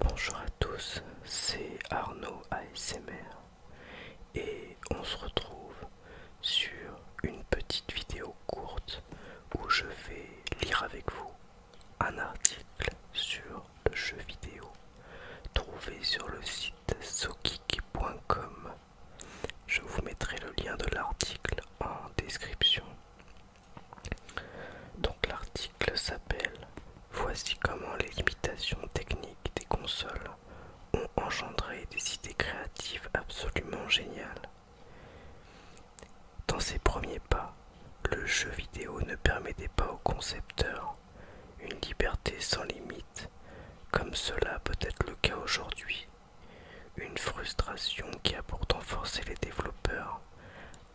Bonjour à tous, c'est Arnaud ASMR et on se retrouve sur une petite vidéo courte où je vais lire avec vous un article sur le jeu vidéo trouvé sur le site sokiki.com. Je vous mettrai le lien de l'article en description. Donc l'article s'appelle Voici comment les limitations techniques des consoles ont engendré des idées créatives absolument géniales. Dans ses premiers pas, le jeu vidéo ne permettait pas aux concepteurs une liberté sans limite, comme cela peut être le cas aujourd'hui. Une frustration qui a pourtant forcé les développeurs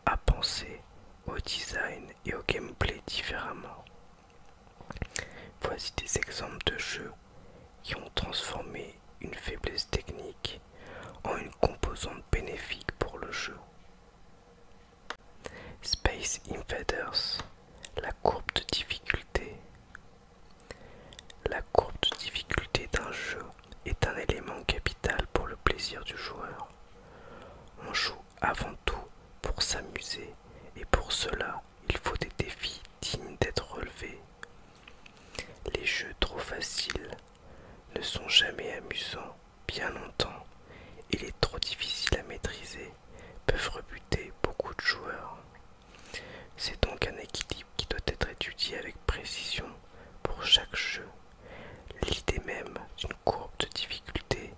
à penser au design et au gameplay différemment. Voici des exemples de jeux qui ont transformé une faiblesse technique en une composante bénéfique pour le jeu. Space Invaders, la courbe de difficulté. La courbe de difficulté d'un jeu est un élément capital pour le plaisir du joueur. On joue avant tout pour s'amuser et pour cela il faut des défis dignes d'être relevés. Les jeux trop faciles ne sont jamais amusants bien longtemps et les trop difficiles à maîtriser peuvent rebuter beaucoup de joueurs. C'est donc un équilibre qui doit être étudié avec précision pour chaque jeu L'idée même d'une courbe de difficulté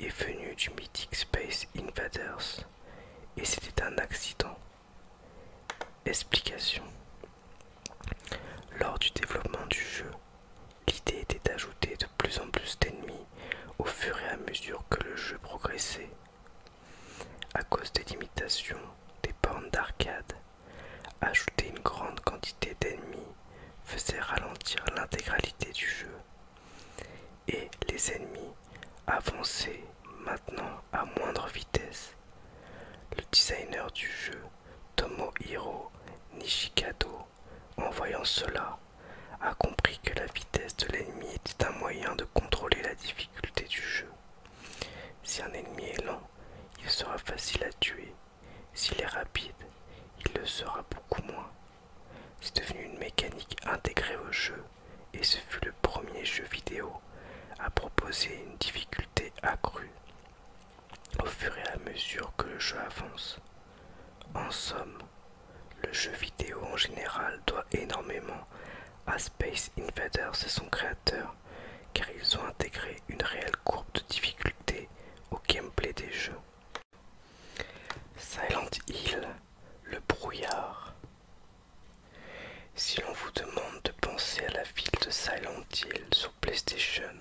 est venue du Mythic Space Invaders et c'était un accident. Explication. Lors du développement du jeu, l'idée était d'ajouter de plus en plus d'ennemis au fur et à mesure que le jeu progressait. À cause des limitations des bornes d'arcade, Ajouter une grande quantité d'ennemis faisait ralentir l'intégralité du jeu. Et les ennemis avançaient maintenant à moindre vitesse. Le designer du jeu, Tomohiro Nishikado, en voyant cela, a compris que la vitesse de l'ennemi était un moyen de contrôler la difficulté du jeu. Si un ennemi est lent, il sera facile à tuer s'il est rapide, il le sera beaucoup moins. C'est devenu une mécanique intégrée au jeu et ce fut le premier jeu vidéo à proposer une difficulté accrue au fur et à mesure que le jeu avance. En somme, le jeu vidéo en général doit énormément à Space Invaders et son créateur car ils ont intégré une réelle courbe de difficulté au gameplay des jeux. Silent Hill, le brouillard. Si l'on vous demande de penser à la ville de Silent Hill sur PlayStation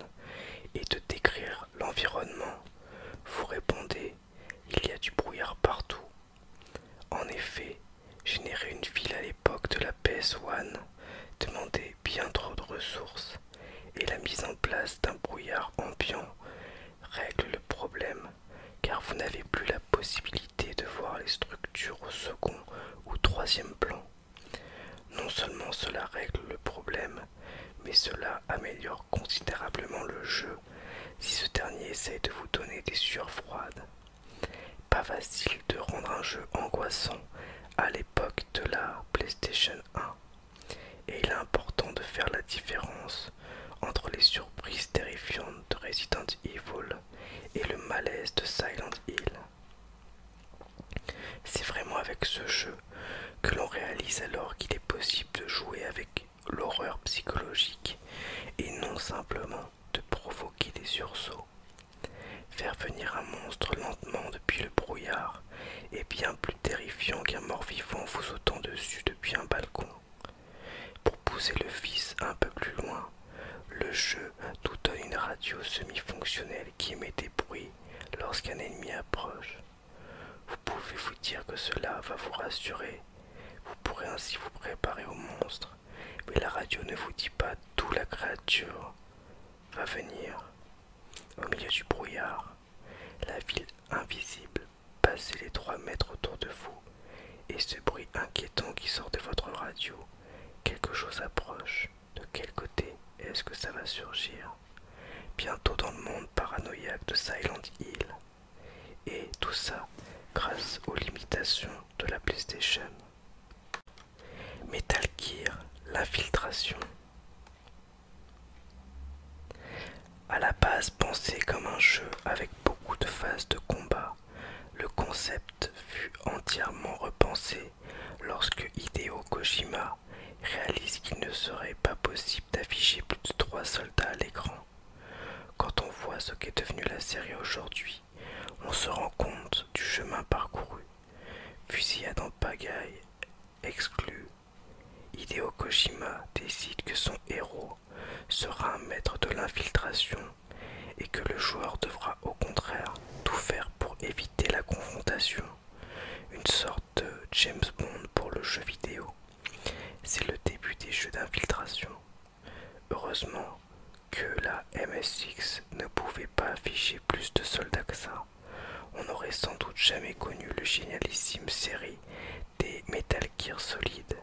et de décrire l'environnement, vous répondez il y a du brouillard partout. En effet, générer une ville à l'époque de la PS1 Demandez bien trop de ressources et la mise en place d'un brouillard ambiant règle le problème car vous n'avez plus la possibilité de voir les structures au second ou troisième plan. Non seulement cela règle le problème, mais cela améliore considérablement le jeu si ce dernier essaie de vous donner des sueurs froides. Pas facile de rendre un jeu angoissant à l'époque de la PlayStation 1 et il est important de faire la différence entre les surprises terrifiantes de Resident Evil et le malaise de Silent Hill. C'est vraiment avec ce jeu que l'on réalise alors qu'il est possible de jouer avec l'horreur psychologique et non simplement de provoquer des sursauts. Faire venir un monstre lentement depuis le brouillard est bien plus terrifiant qu'un mort-vivant vous sautant dessus depuis un balcon. Pour pousser le fils un peu plus loin, le jeu nous donne une radio semi-fonctionnelle qui émet des bruits lorsqu'un ennemi approche. Vous pouvez vous dire que cela va vous rassurer, vous pourrez ainsi vous préparer au monstre, mais la radio ne vous dit pas d'où la créature va venir. Au milieu du brouillard, la ville invisible passer les trois mètres autour de vous, et ce bruit inquiétant qui sort de votre radio, quelque chose approche. De quel côté est-ce que ça va surgir Bientôt dans le monde paranoïaque de Silent Hill. Et tout ça grâce aux limitations de la PlayStation. Metal Gear, l'infiltration. À la base pensé comme un jeu avec beaucoup de phases de combat, le concept fut entièrement repensé lorsque Hideo Kojima réalise qu'il ne serait pas possible d'afficher plus de trois soldats à l'écran. Quand on voit ce qu'est devenu la série aujourd'hui, on se rend compte du chemin parcouru Fusillade en pagaille, exclu. Hideo Kojima décide que son héros sera un maître de l'infiltration et que le joueur devra au contraire tout faire pour éviter la confrontation. Une sorte de James Bond pour le jeu vidéo. C'est le début des jeux d'infiltration. Heureusement que la MSX ne pouvait pas afficher plus de soldats que ça on n'aurait sans doute jamais connu le génialissime série des Metal Gear Solid,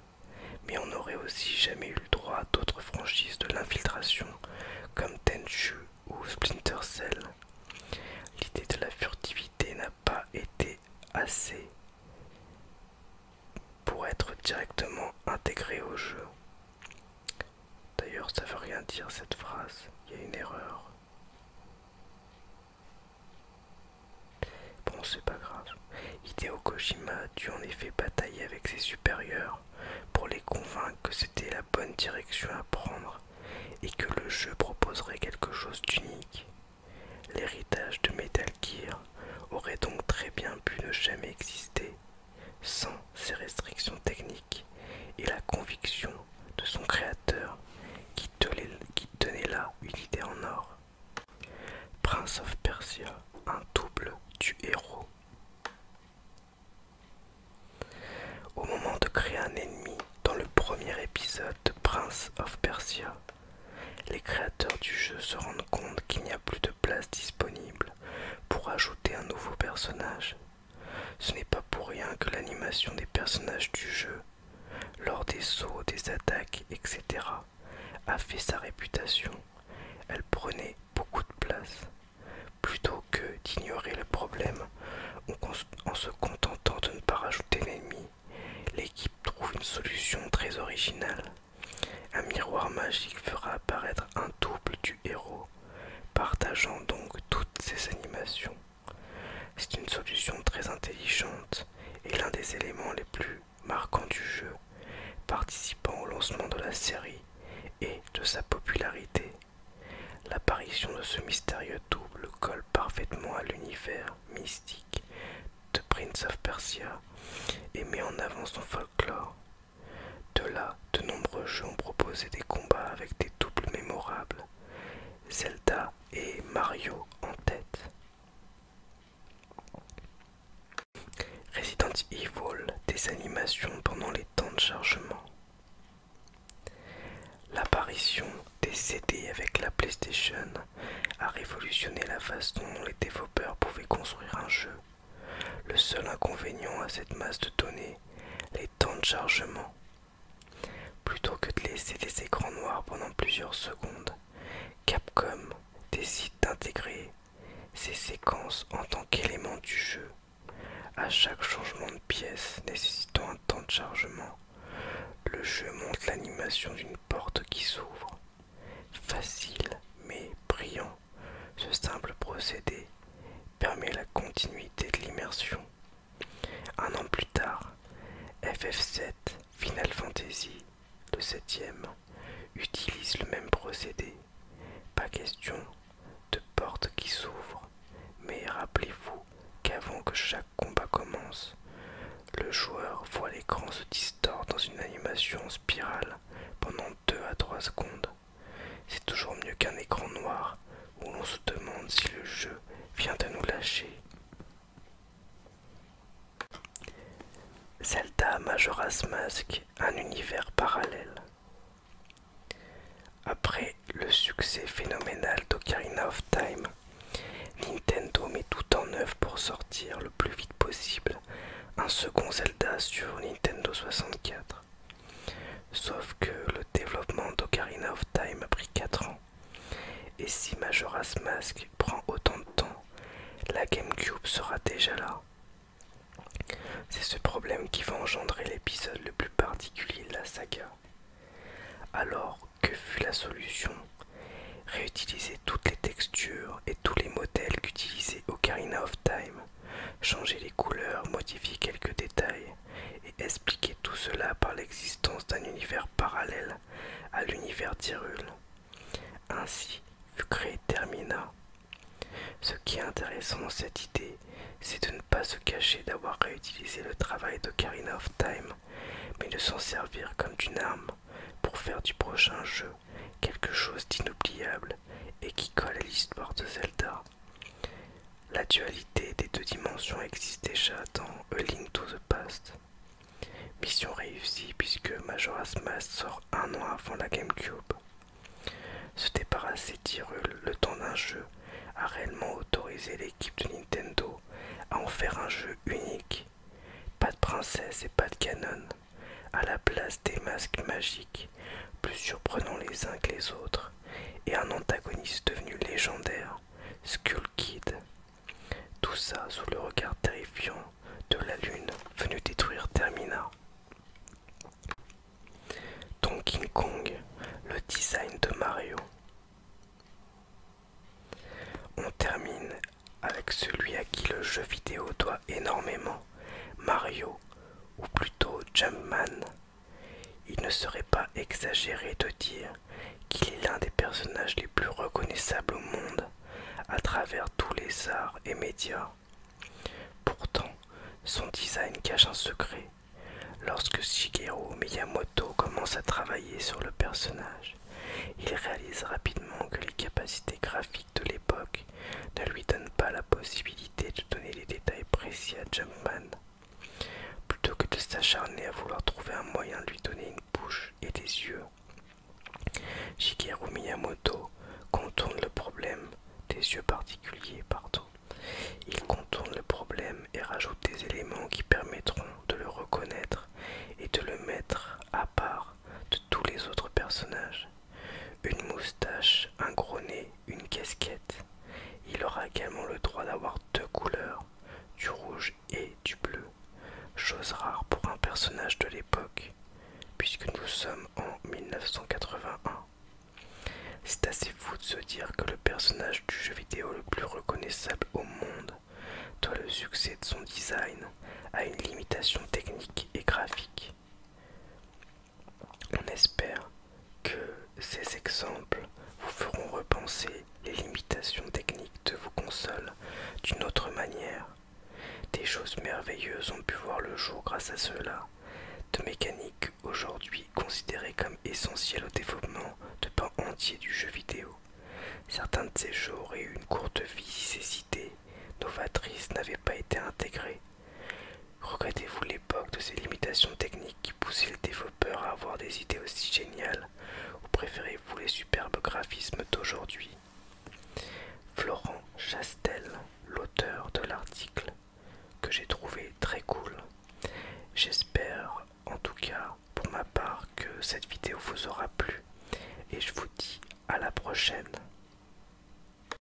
mais on n'aurait aussi jamais eu le droit à d'autres franchises de l'infiltration comme Tenchu ou Splinter Cell. L'idée de la furtivité n'a pas été assez pour être directement intégrée au jeu. D'ailleurs, ça veut rien dire cette phrase, il y a une erreur. Bon, c'est pas grave. Hideo Kojima a dû en effet batailler avec ses supérieurs pour les convaincre que c'était la bonne direction à prendre et que le jeu proposerait quelque chose d'unique. L'héritage de Metal Gear aurait donc très bien pu ne jamais exister sans ces restrictions techniques et la conviction de son créateur qui tenait là une idée en or. Prince of Persia, un double du héros. Au moment de créer un ennemi dans le premier épisode de Prince of Persia, les créateurs du jeu se rendent compte qu'il n'y a plus de place disponible pour ajouter un nouveau personnage ce n'est pas pour rien que l'animation des personnages du jeu, lors des sauts, des attaques, etc., a fait sa réputation. Elle prenait beaucoup de place. Plutôt que d'ignorer le problème en se contentant de ne pas rajouter l'ennemi, l'équipe trouve une solution très originale. Un miroir magique fera apparaître un double du héros partageant donc toutes ces animations. C'est une solution très intelligente et l'un des éléments les plus marquants du jeu, participant au lancement de la série et de sa popularité. L'apparition de ce mystérieux double colle parfaitement à l'univers mystique de Prince of Persia et met en avant son folklore de là, de nombreux jeux ont proposé des combats avec des doubles mémorables, Zelda et Mario en tête. Resident Evil, des animations pendant les temps de chargement. L'apparition des CD avec la PlayStation a révolutionné la façon dont les développeurs pouvaient construire un jeu le seul inconvénient à cette masse de données, les temps de chargement. Plutôt que de laisser des écrans noirs pendant plusieurs secondes, Capcom décide d'intégrer ces séquences en tant qu'élément du jeu. À chaque changement de pièce nécessitant un temps de chargement, le jeu montre l'animation d'une porte qui s'ouvre. Facile mais brillant ce simple procédé permet la continuité de l'immersion. Un an plus tard, FF7 Final Fantasy, le 7 e utilise le même procédé. Pas question de portes qui s'ouvre, mais rappelez-vous qu'avant que chaque combat commence, le joueur voit l'écran se distordre dans une animation en spirale pendant 2 à 3 secondes. C'est toujours mieux qu'un écran noir où l'on se demande si le jeu vient de nous lâcher. Zelda Majora's Mask, un univers parallèle. Après le succès phénoménal d'Ocarina of Time, Nintendo met tout en œuvre pour sortir le plus vite possible un second Zelda sur Nintendo 64. Sauf que le développement d'Ocarina of Time a pris 4 ans. Et si Majora's Mask prend autant de temps, la GameCube sera déjà là. C'est ce problème qui va engendrer l'épisode le plus particulier de la saga. Alors, que fut la solution Réutiliser toutes les textures et tous les modèles qu'utilisait Ocarina of Time changer les couleurs, modifier quelques détails et expliquer tout cela par l'existence d'un univers parallèle à l'univers d'Hyrule. Ainsi fut Termina. Ce qui est intéressant dans cette idée, c'est de ne pas se cacher d'avoir réutilisé le travail de Karina of Time, mais de s'en servir comme d'une arme pour faire du prochain jeu quelque chose d'inoubliable et qui colle à l'histoire de Zelda. La dualité des deux dimensions existe déjà dans A Link to the Past. Mission réussie puisque Majora's Mask sort un an avant la GameCube. Se débarrasser tirule le temps d'un jeu a réellement autorisé l'équipe de Nintendo à en faire un jeu unique. Pas de princesse et pas de canon. À la place des masques magiques plus surprenants les uns que les autres, et un antagoniste devenu légendaire, Skull Kid. Tout ça sous le regard terrifiant de la lune venue détruire Termina. Donkey Kong, le design de Mario. On termine avec celui à qui le jeu vidéo doit énormément, Mario, ou plutôt Jumpman, il ne serait pas exagéré de dire qu'il est l'un des personnages les plus reconnaissables au monde à travers tous les arts et médias. Pourtant, son design cache un secret. Lorsque Shigeru Miyamoto commence à travailler sur le personnage, il réalise rapidement que les capacités graphiques de l'époque ne lui donnent pas la possibilité de donner les détails précis à Jumpman. Plutôt que de s'acharner à vouloir trouver un moyen de lui donner une bouche et des yeux, Shigeru Miyamoto contourne le problème des yeux particuliers, partout. Il contourne le problème et rajoute des éléments qui permettront de le reconnaître et de le mettre à part de tous les autres personnages. Une moustache, un gros nez, une casquette. Il aura également le droit d'avoir deux couleurs, du rouge et du bleu, chose rare pour un personnage de l'époque, puisque nous sommes en 1981. C'est assez fou de se dire que le personnage du jeu vidéo le plus reconnaissable au monde doit le succès de son design à une limitation technique et graphique. On espère que ces exemples vous feront repenser les limitations techniques de vos consoles d'une autre manière. Des choses merveilleuses ont pu voir le jour grâce à cela, de mécaniques aujourd'hui considérées comme essentielles au développement de pans entiers du jeu vidéo. Certains de ces jeux auraient eu une courte vie si ces idées novatrices n'avaient pas été intégrées Regrettez-vous l'époque de ces limitations techniques qui poussaient les développeurs à avoir des idées aussi géniales ou préférez-vous les superbes graphismes d'aujourd'hui Florent Chastel, l'auteur de l'article, que j'ai trouvé très cool. J'espère en tout cas pour ma part que cette vidéo vous aura plu et je vous dis à la prochaine.